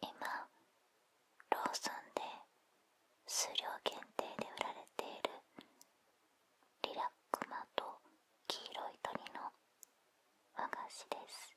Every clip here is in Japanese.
今ローソンで数量限定で売られているリラックマと黄色い鳥の和菓子です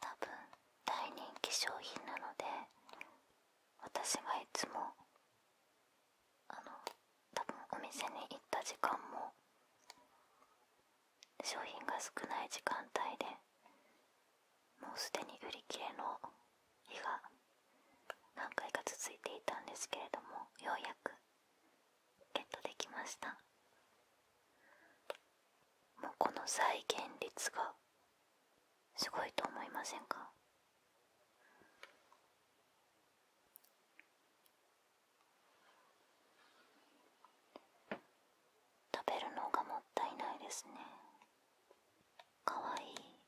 多分大人気商品なので私はいつもあの多分お店に行った時間も商品が少ない時間帯でもうすでに売り切れの日が何回か続いていたんですけれどもようやくゲットできましたもうこの再現率がすごいと思いませんか食べるのがもったいないですねかわいい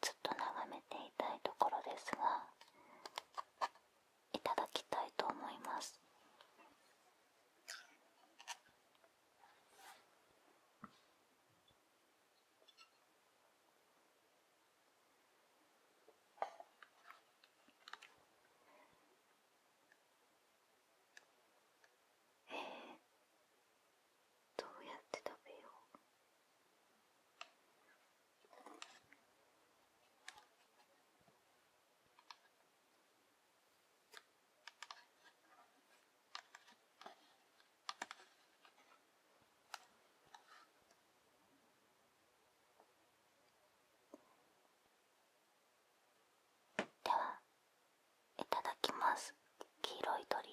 ずっと眺めていたいところですがいただきたいと思います。えー、どうやって食べようではいただきます黄色い鳥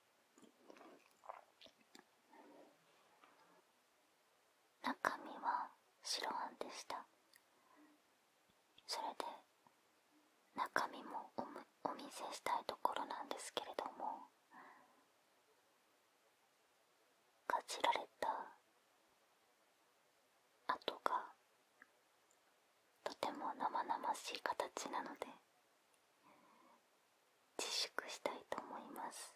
中身は白あんでしたそれで中身もお見せしたいところなんですけれどもかじられた跡がとても生々しい形なので自粛したいと思います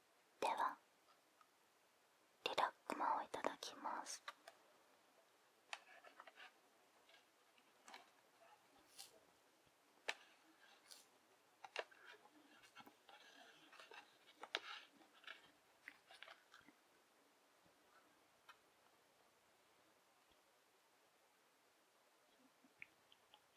ではリラックマをいただきます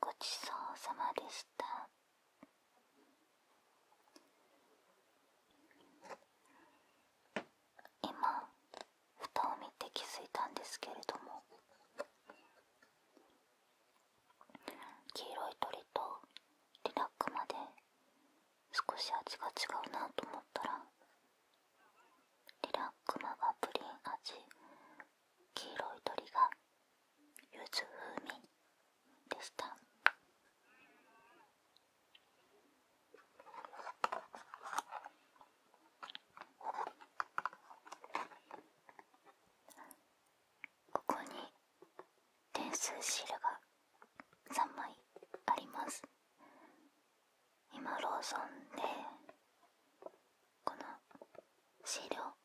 ごちそうさまでした今蓋を見て気づいたんですけれども黄色い鳥とリラックまで少し味が違うなと思ったらリラックマがプリン味黄色い鳥が柚子風味でしたここに点数シールが3枚あります今ローソンでこのシールを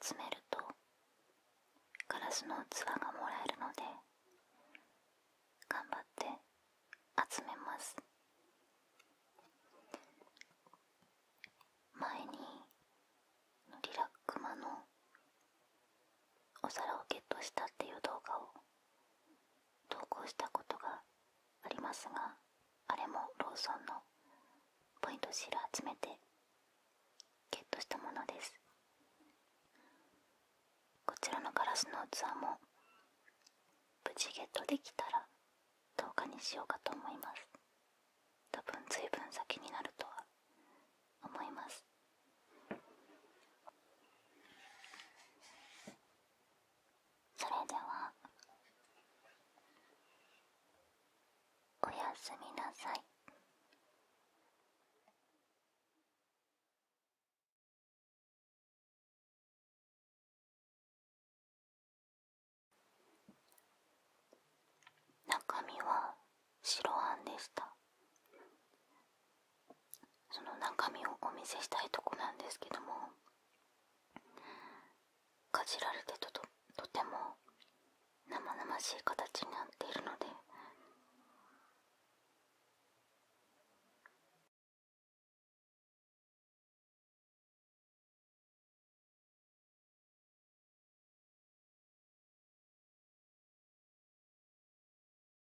集めるとガラスの器がもらえるので頑張って集めます前にリラックマのお皿をゲットしたっていう動画を投稿したことがありますがあれもローソンのポイントシール集めてゲットしたものですこちらのガラスの器も無事ゲットできたら10日にしようかと思います多分随分先になるとは思いますそれではおやすみなさい。中身は白あんでしたその中身をお見せしたいとこなんですけどもかじられてとととても生々しい形になっているので